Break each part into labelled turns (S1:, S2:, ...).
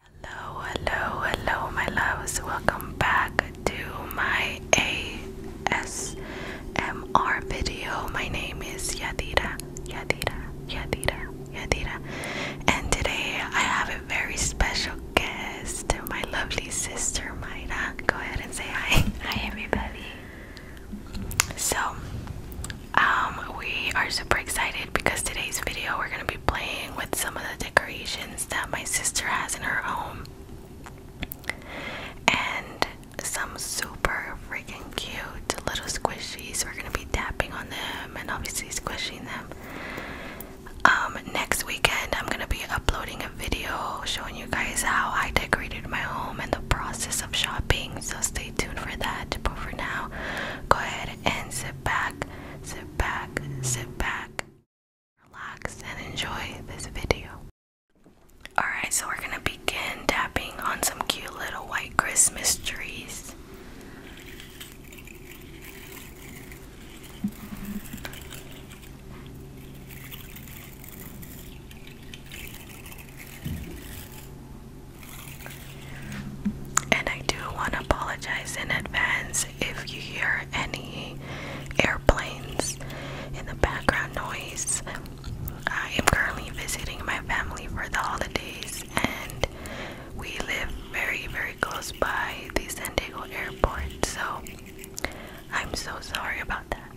S1: Hello, hello, hello, my loves. Welcome back to my ASMR video. My name is Yadira, Yadira, Yadira, Yadira. And today I have a very special guest, my lovely sister Maida. Go ahead and say hi. Hi, everybody. So, um, we are super excited because today's video we're gonna be playing with some of the decorations that my sister has in her home, and some super freaking cute little squishies. We're gonna be tapping on them and obviously squishing them. Um, next weekend, I'm gonna be uploading a video showing you guys how I decorated my home in the process shopping, so stay tuned for that. But for now, go ahead and sit back, sit back, sit back, relax, and enjoy this video. Alright, so we're gonna begin tapping on some cute little white Christmas trees. And I do want to apologize in advance if you hear any airplanes in the background noise. I am currently visiting my family for the holidays, and we live very, very close by the San Diego airport, so I'm so sorry about that.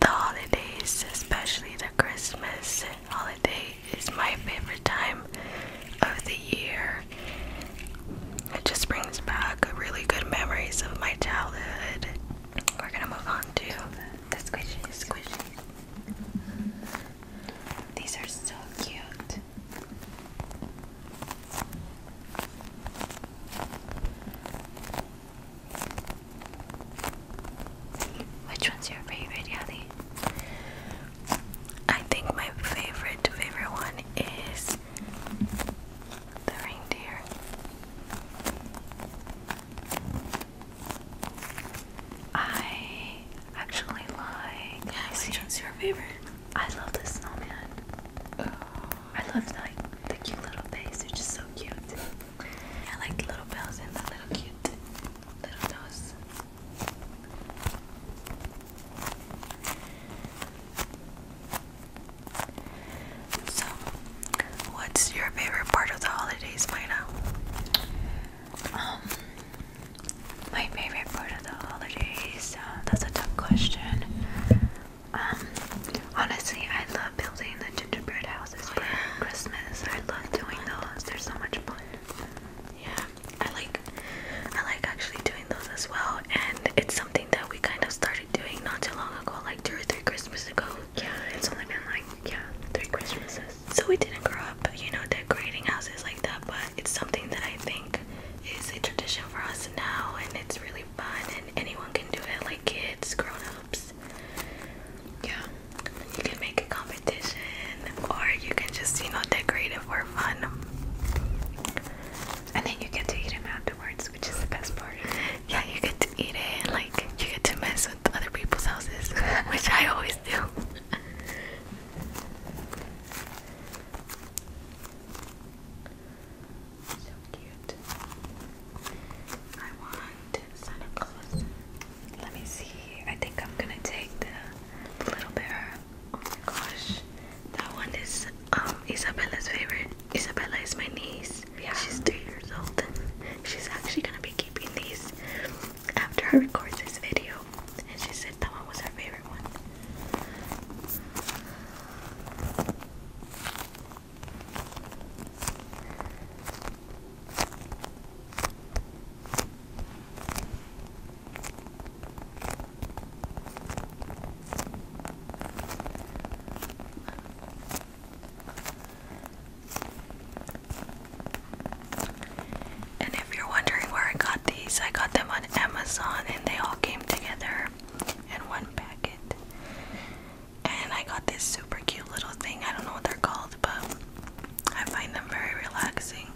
S1: The holidays, especially the Christmas holiday, is my favorite time of the year. It just brings back really good memories of my childhood. We're gonna move on to the squishies. These are so cute. Which one's your favorite, Yali? I think my favorite, favorite one is the reindeer. I actually like. Yeah, which one's your favorite? I love the snowman. Oh. I love like the cute little face. It's just so cute. I like the little bells and the little cute little nose. So, what's your favorite part of the holidays, Maida? Um, my favorite part of the holidays. Uh, that's a tough question. Um, honestly, I love building the gingerbread houses for Christmas. I love doing those. They're so much fun. Yeah, I like, I like actually doing those as well. And it's something that we kind of started doing not too long ago, like two or three Christmases ago. Yeah, it's only been like yeah, three Christmases. So we didn't grow up, you know, decorating houses like that. But it's something that I think is a tradition for us now, and it's really fun and anyone can do it, like kids, grown Yeah. You can make a competition or you can just, you know, decorate it for fun. And then you get to eat them afterwards, which is the best part. Yeah, you get to eat it like you get to mess with other people's houses, which I always do. So cute. I want Santa Claus. Let me see. I think I'm gonna take the little bear. Oh my gosh. That one is um Isabella's favorite. Isabella is my niece. Yeah. She's three years old. She's actually gonna be keeping these after I record this video. And she said that one was her favorite favorite one. And if you're wondering where I got these, I got them on Amazon and they all came together in one packet. And I got this super cute little thing. I don't know what they're called, but I find them very relaxing.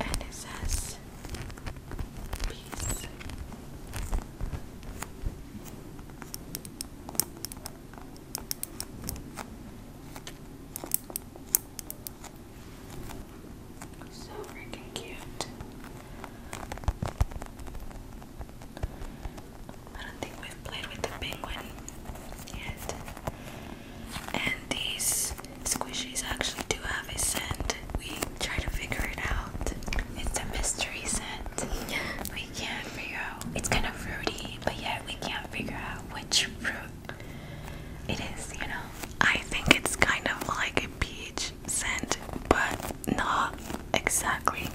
S1: And it says peace. So freaking cute. I don't think we've played with the penguin yet. And these squishies actually do have a scent we try to figure it out. It's a mystery scent. We can't figure out. It's kind of fruity, but yet we can't figure out which fruit it is, you know? I think it's kind of like a peach scent, but not exactly.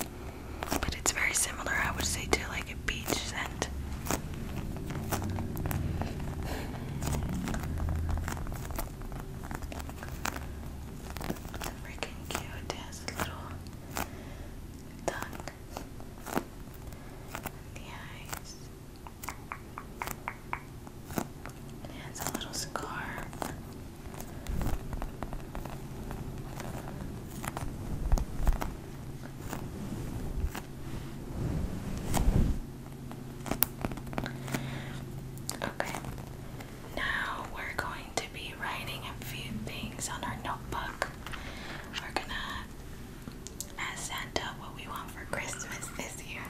S1: But it's very similar, I would say, to like a peach scent freaking cute. It has a little tongue the eyes. It has a little scarf. Okay, now we're going to be writing a few things on our notebook. We're gonna ask Santa what we want for Christmas this year.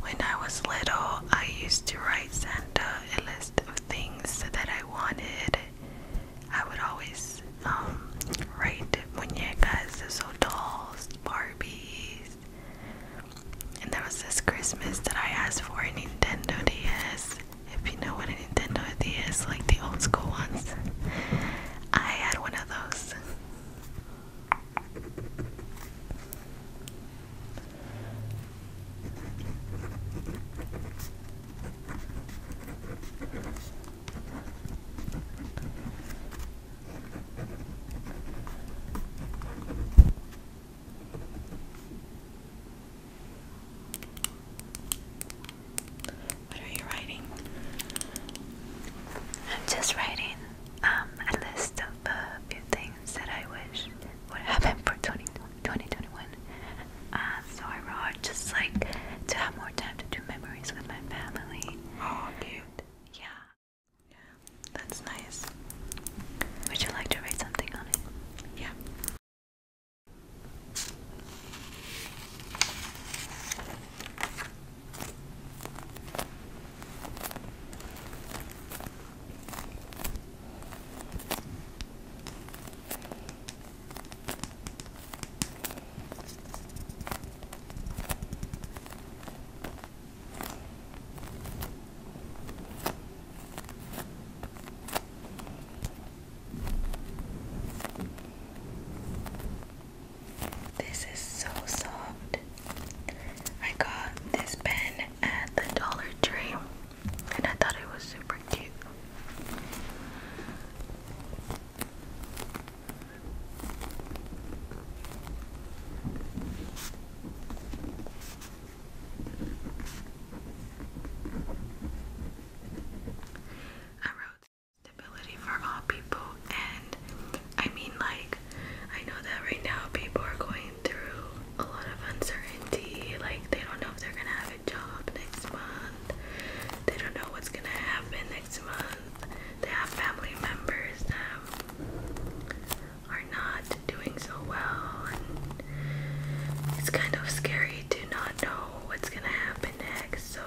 S1: When I was little, I used to write Santa a list of things that I wanted I would always um, write are so tall, Barbies. And there was this Christmas that I asked for a Nintendo DS. If you know what a Nintendo DS, is, like the old school ones, I had one of those. What are you writing? I'm just writing um, a list of a few things that I wish would happen for 2020. 2021. Uh, so I wrote just like to have more time to do memories with my family. Oh, cute. Yeah. Yeah, that's nice. Would you like to write something on it? Yeah. This is so soft. I got this pen at the Dollar Tree and I thought it was super cute. I wrote stability for all people, and I mean, like, I know that right now people are going through a lot of uncertainty. Like, they don't know if they're gonna have a job next month, they don't know what's gonna happen next month. They have family members that are not doing so well, and it's kind of scary to not know what's gonna happen next. So,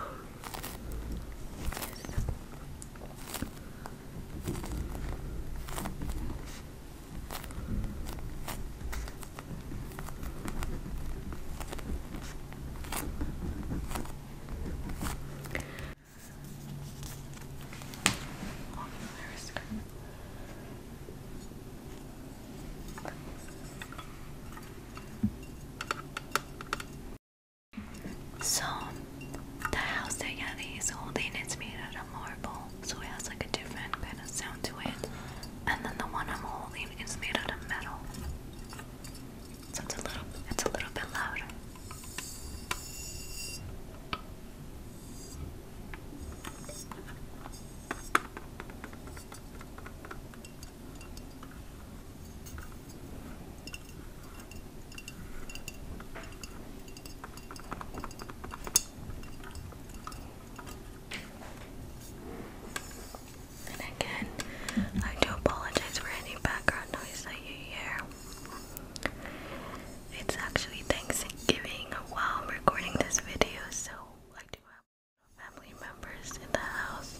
S1: so, the house that Yadi is holding is made so it has like a different kind of sound to it. And then the one I'm holding is made out of metal, so it's a little, it's a little bit louder. And again, I do apologize for any background noise that you hear. It's actually Thanksgiving while I'm recording this video, so I do have family members in the house.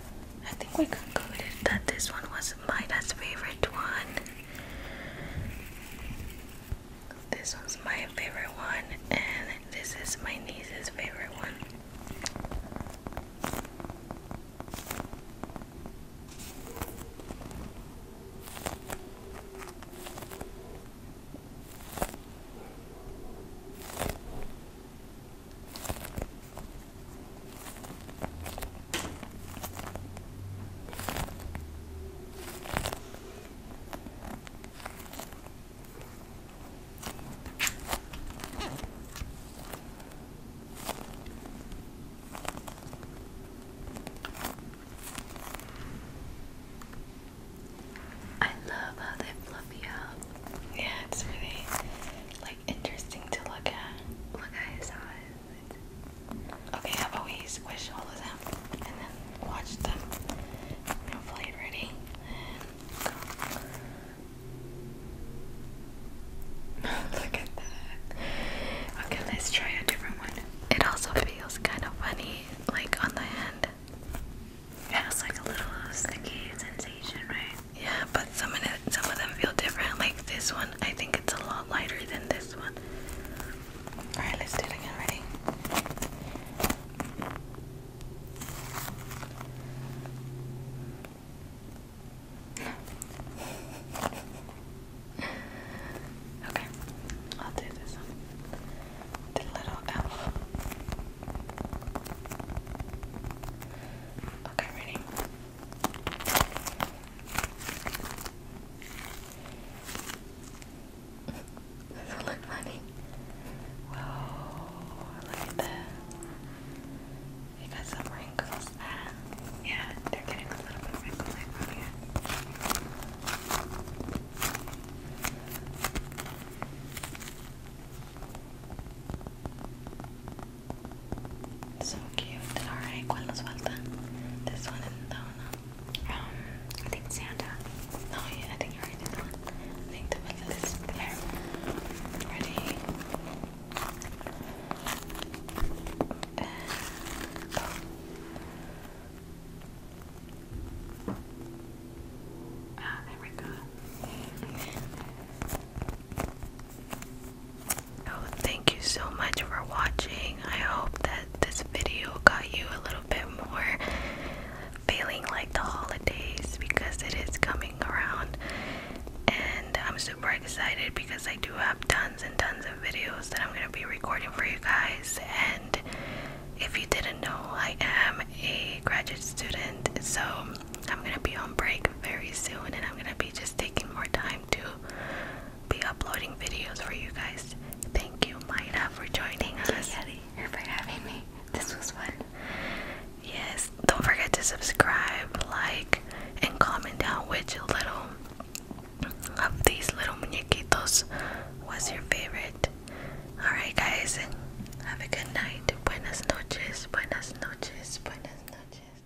S1: I think we concluded that this one was Maida's favorite one. This was my favorite one, and this is my niece's favorite one. I love how they fluffy up. Yeah, it's really interesting to look at. Look at his eyes. Okay, I've always squish all of them and then watch them. Hopefully, ready and go. look at that. Okay, let's try a different one. It also feels kind of funny, like on the hand. It has like a little sticky sensation, right? Yeah, but some of it, some of them feel different. Like this one, I think it's a lot lighter than this one. All right, let's do it again. Ready? okay, I'll do this one. The little elf. Okay, ready? look funny? Whoa, look at that. You got some wrinkles. Ah, yeah, they're getting a little bit wrinkly on here. So cute. Alright, ¿cuál nos falta? This one and that one. Um, I think Santa. No, yeah, I think you I think the one is there. Ready? Oh. Ah, there we go. Oh, thank you so much for watching. I hope that this video got you a little bit more feeling like the holidays because it is coming around. And I'm super excited because I do have tons and tons of videos that I'm going to be recording for you guys. And if you didn't know, I am a graduate student. So I'm gonna be on break very soon, and I'm gonna be just taking more time to be uploading videos for you guys. Thank you, Mayra, for joining us. Kelly, for having me. This was fun. Yes, don't forget to subscribe, like, and comment down which little of these little muñequitos was your favorite. Alright, guys, have a good night. Buenas noches, buenas noches, buenas noches.